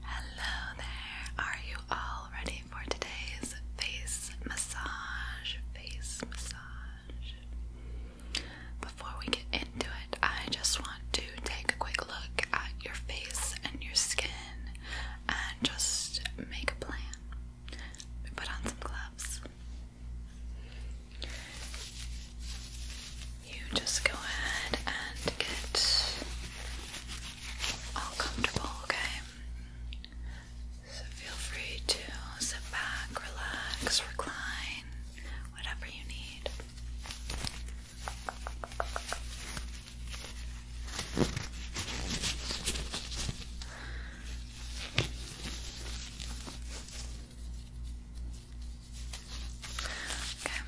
Hello there. Are you all ready for today's face massage? Face massage. Before we get into it, I just want to take a quick look at your face and your skin and just make a plan. put on some gloves you just go ahead and get all comfortable, okay? So feel free to sit back, relax, recline, whatever you need. Okay,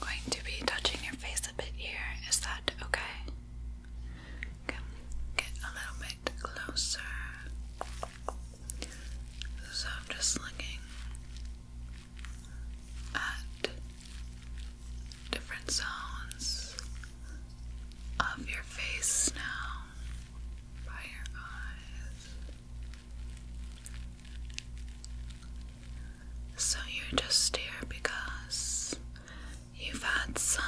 going to be touching your face a bit here. Is that okay? Okay, get a little bit closer. So I'm just looking at different zones of your face now by your eyes. So you're just here because you've had some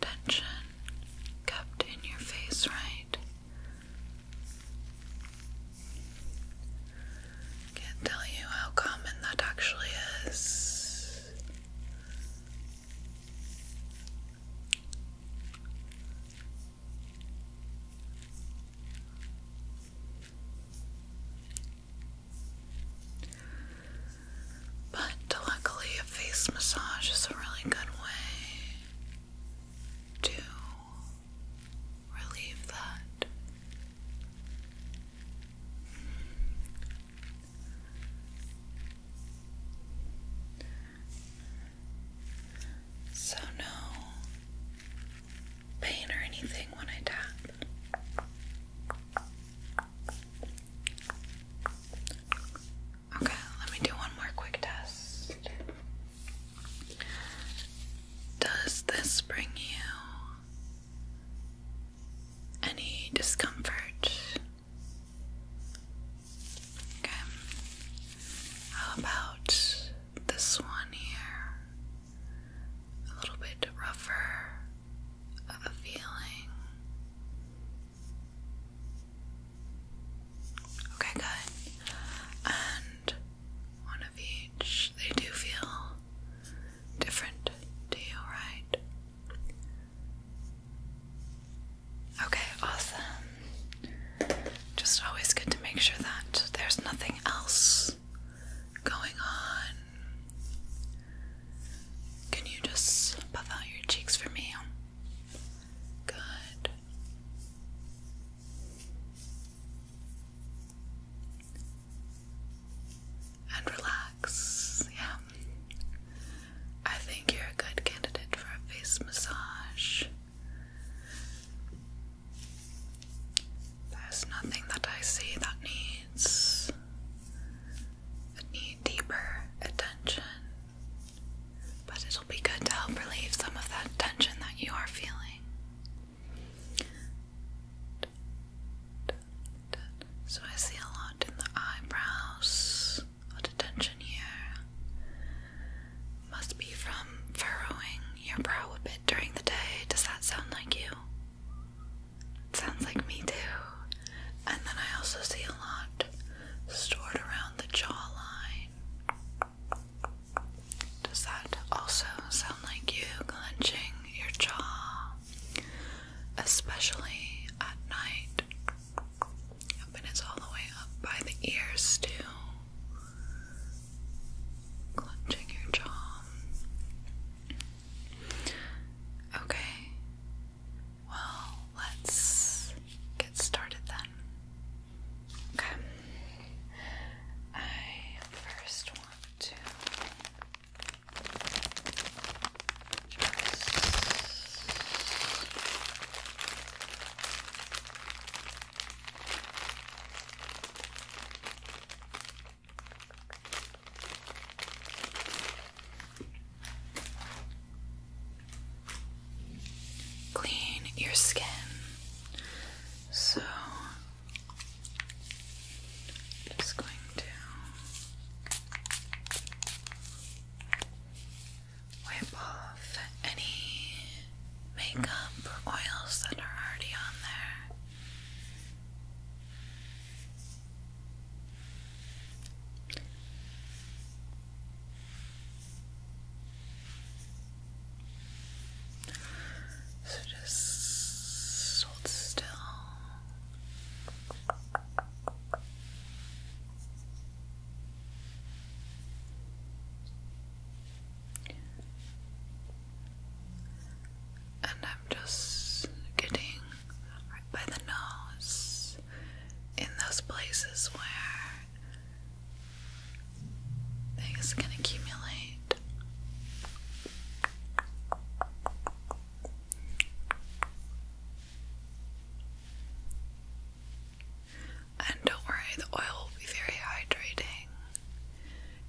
tension kept in your face, right? Can't tell you how common that actually is. But luckily, a face massage is a really good way to relieve that. So, no pain or anything when I die. Okay, let me do one more quick test. Does this bring you any discomfort? Okay. How about this one here a little bit rougher a feeling. Okay, good. And one of each. They do feel different to right? Okay, awesome. Just always good to make sure that there's nothing else going on. Can you just puff out your cheeks for me? Good. And relax. Yeah. I think you're a good candidate for a face massage. There's nothing that I see that needs that need deeper attention. But it'll be good to help relieve some of that tension that you are feeling. So I see a lot in the eyebrows, a lot of tension here. Must be from furrowing your brow a bit during the day. Does that sound like you? sounds like me too. And then I also see a lot stored around the jawline. Does that also sound like you clenching your jaw? Especially at night. And it's all the way up by the ears, too. Clenching your jaw. Okay. Well, let's get started then. Okay. I first want to Clean your skin. So just going to wipe off any makeup or oils that are already on there. So just hold still. And I'm just getting right by the nose in those places where things can accumulate. And don't worry, the oil will be very hydrating.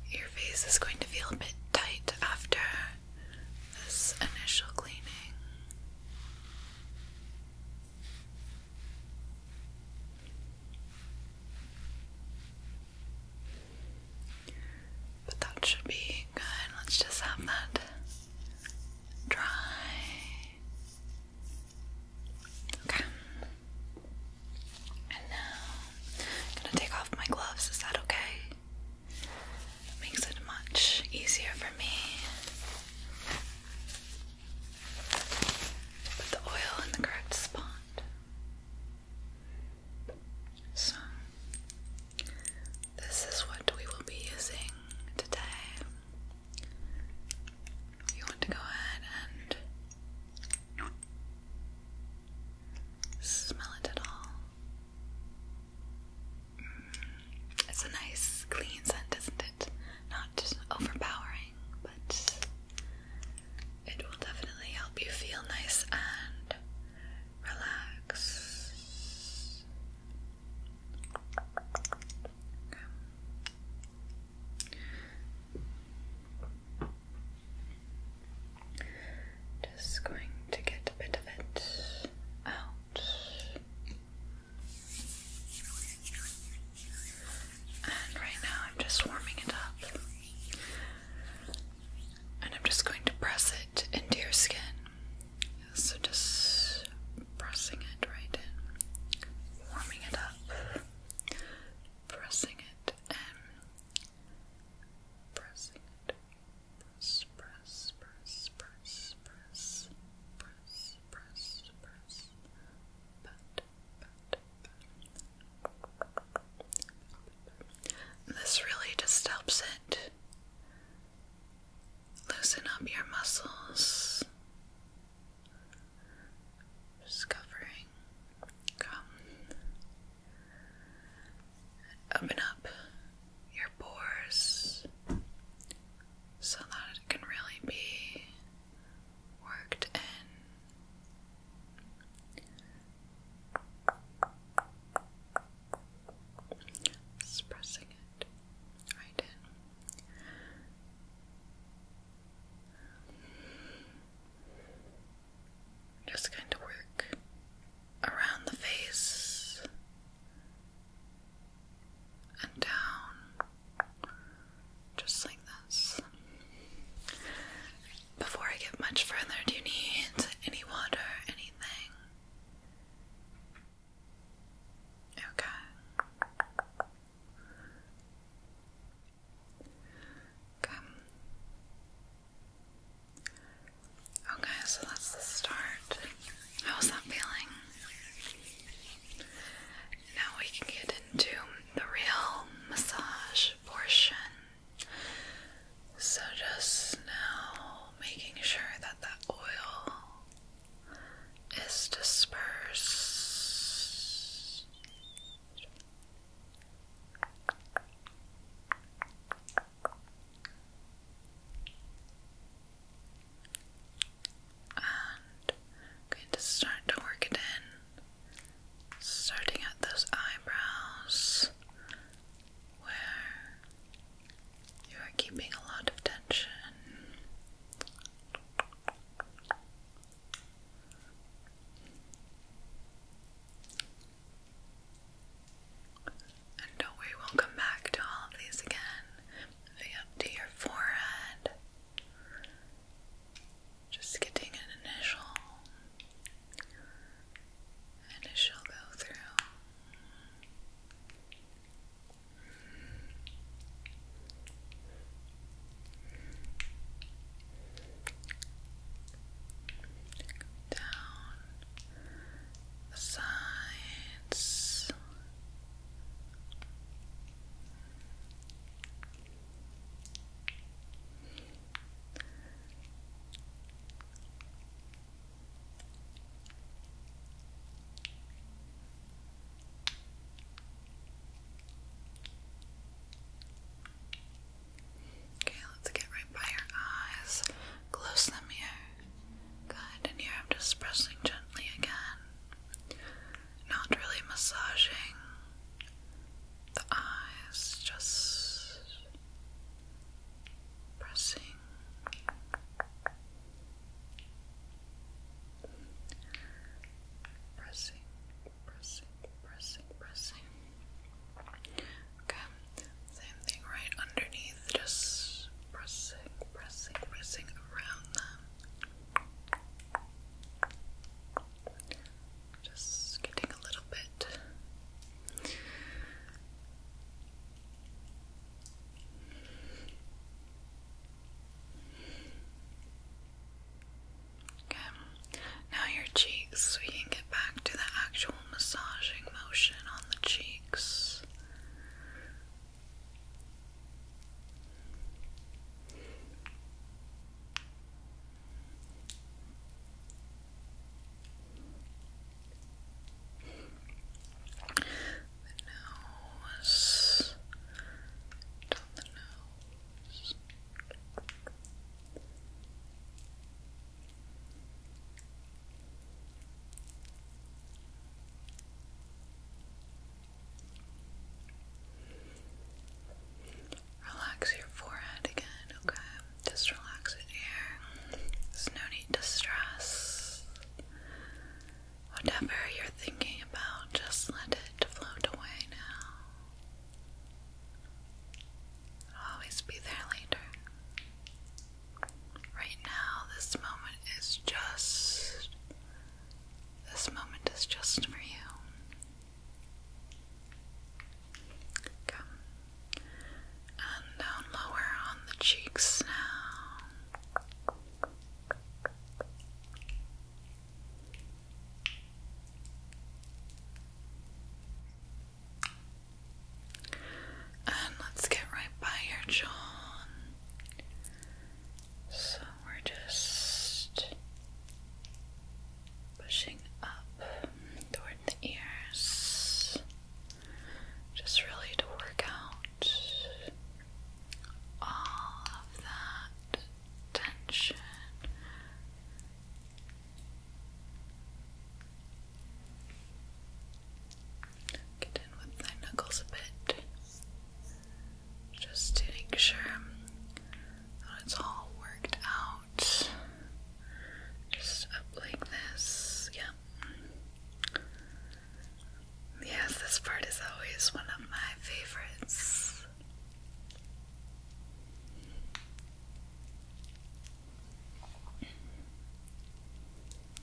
Your face is going to feel a bit tight after this initial cleaning. But that should be good. Let's just have that dry. Okay. I'm um, gonna take off my gloves. Is that okay? makes it much easier for me. Put the oil in the correct spot. So, this is what we will be using today you want to go ahead and smell it at all. Mm. it's a nice, clean scent, isn't it? Not overpowering, but it will definitely help you feel nice and relax. Just going to get a bit of it out and right now I'm just warming it up and I'm just going to press it into your skin so just pressing it right in warming it up pressing it and um, pressing it. Press, press, press, press, press, press, press, press. This really just helps it loosen up your muscles discovering come open up your pores so that it can really be worked in. Just pressing it right in just going to work around the face and down, just like this. Before I get much further, do you need any water, anything? Okay. Okay. Okay, so that's the start. How's that feeling? Now we can get into the real massage portion. So, just now making sure that that oil is dispersed and going to start to work it in, starting at those eyebrows where you are keeping a lot of tension. And don't worry, we'll come back to all of these again. Moving up to your forehead. Just getting an initial. Initial go through down the sides. Okay, let's get right by your eyes. Close them here. Good, and here I'm just pressing gently again. Not really massaging the eyes, just pressing. Pressing, pressing, pressing, pressing. Okay, same thing right underneath, just pressing, pressing, pressing around them. Just getting a little bit. Okay. Now your cheeks. We can get back to the actual massaging motion on the cheeks. The nose, down the nose. Relax your forehead again, okay? Just relax it here. There's no need to stress. Whatever you're thinking about, just let it float away now. I'll always be there later. Right now, this moment is just. This moment is just for you. Come. And down lower on the cheeks now. And let's get right by your jaw. So we're just pushing up toward the ears, just really to work out all of that tension. Get in with my knuckles a bit. Just to make sure that it's all worked out. Just up like this. Yep. Yes, this part is always one of my favorites.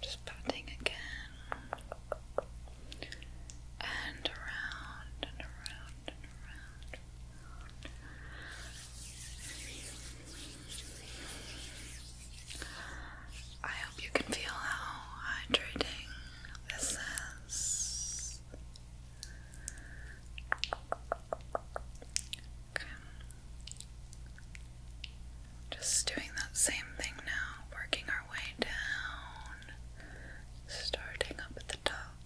Just patting again and around and around and around. I hope you can feel how hydrating this is. Just doing that same thing now, working our way down, starting up at the top.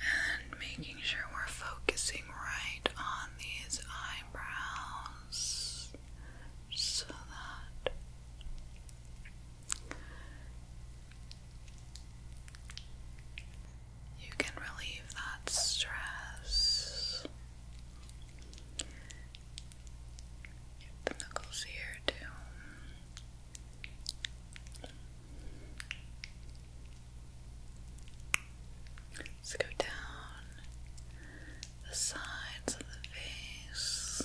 And making sure we're focusing right on these eyebrows so that you can relieve that stress. the knuckles here too. Let's go down the sides of the face.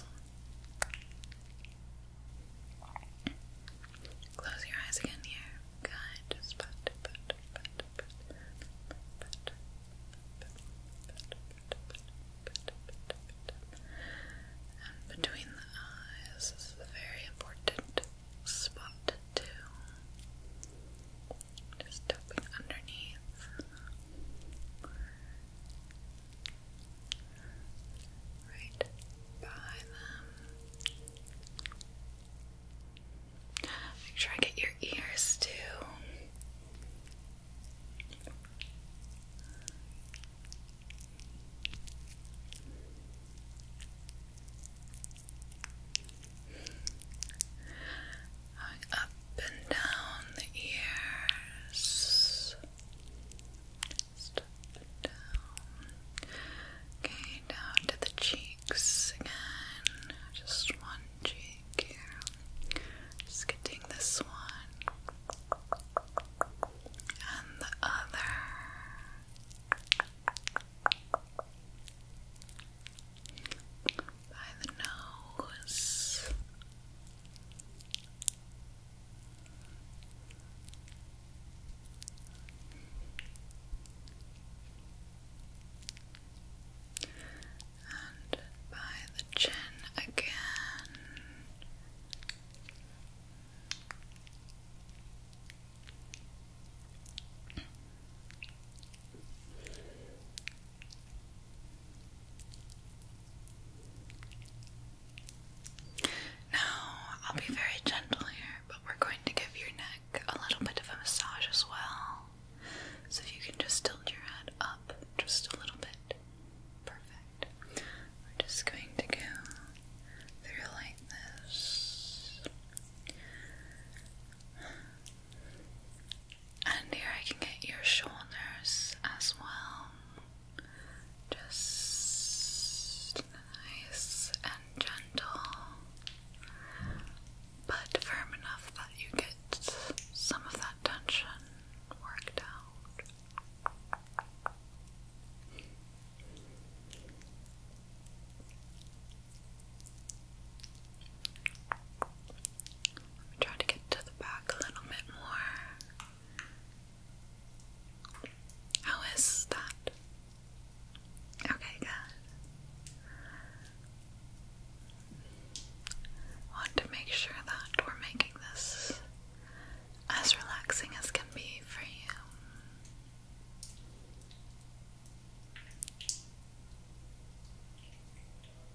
Close your eyes again here. Good. and between the eyes, is a very important spot too. Just tapping underneath. Right by them. Make sure I get your ears too up and down the ears. Okay, down to the cheeks again. Just one cheek here. Just getting this one. And the other by the nose. And by the chin again. Now, I'll be very gentle here, but we're going to give your neck a little bit of a massage as well. So if you can just tilt your head up just a little bit. Perfect. We're just going to go through like this. And here I can get your shoulders as well. Just nice and gentle, but firm enough that you get some of that tension worked out. Let me try to get to the back a little bit more. How is that? Okay, good. Want to make sure that we're making this as relaxing as can be for you.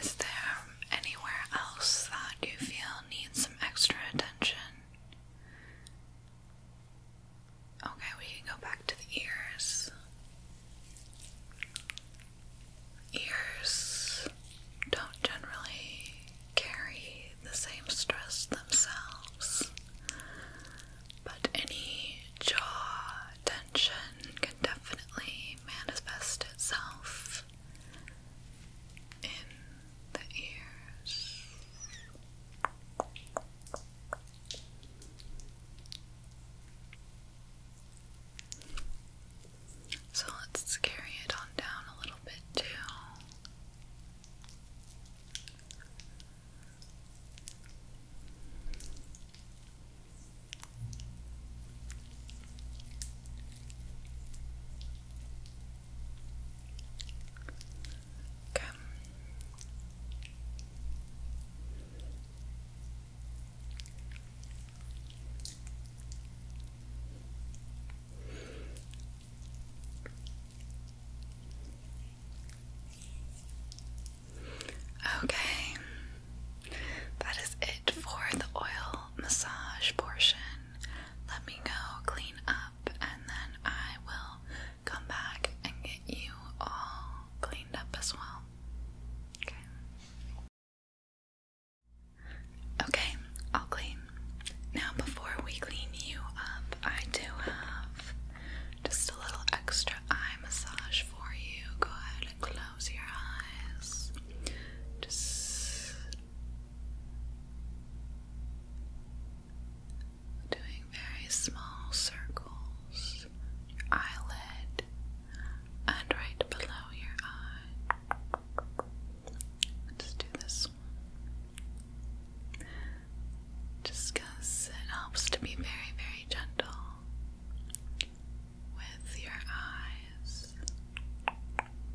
is there anywhere else that you feel needs some extra attention? Okay, we can go back to the ears. Ears don't generally carry the same stress themselves, but any jaw tension can definitely manifest itself in the ears. So let's carry it on down a little bit too. Okay. Okay, that is it for the oil massage portion let me go clean up and then I will come back and get you all cleaned up as well. Okay. Okay, I'll clean. Now, before we clean you up, I do have just a little extra eye massage for you. Go ahead and close your eyes. Just Doing very small circles, your eyelid, and right below your eye. Let's do this one. Just because it helps to be very, very gentle with your eyes.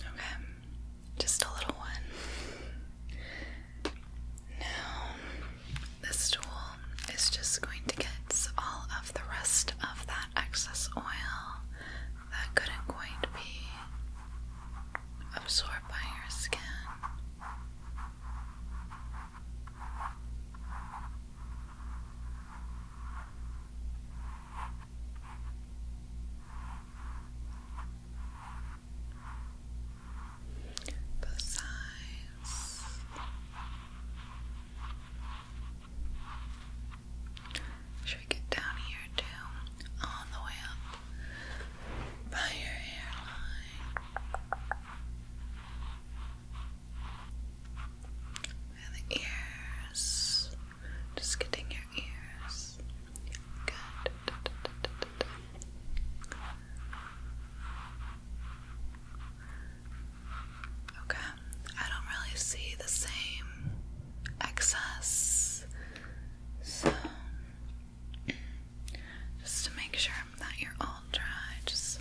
Okay, just a little one. Now, this tool is just going to get all of the rest of that excess oil that couldn't quite be absorbed by your skin. Both sides. Should we get down here too? All the way up by your hairline. And the ears. Just getting your ears. Good. Okay, I don't really see the same excess, so just to make sure that you're all dry, just.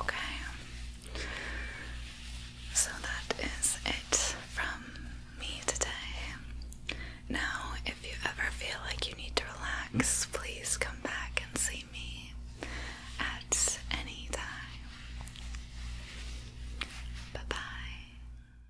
Okay. So that is it from me today. Now, if you ever feel like you need to relax, please come back and see me at any time. Bye bye.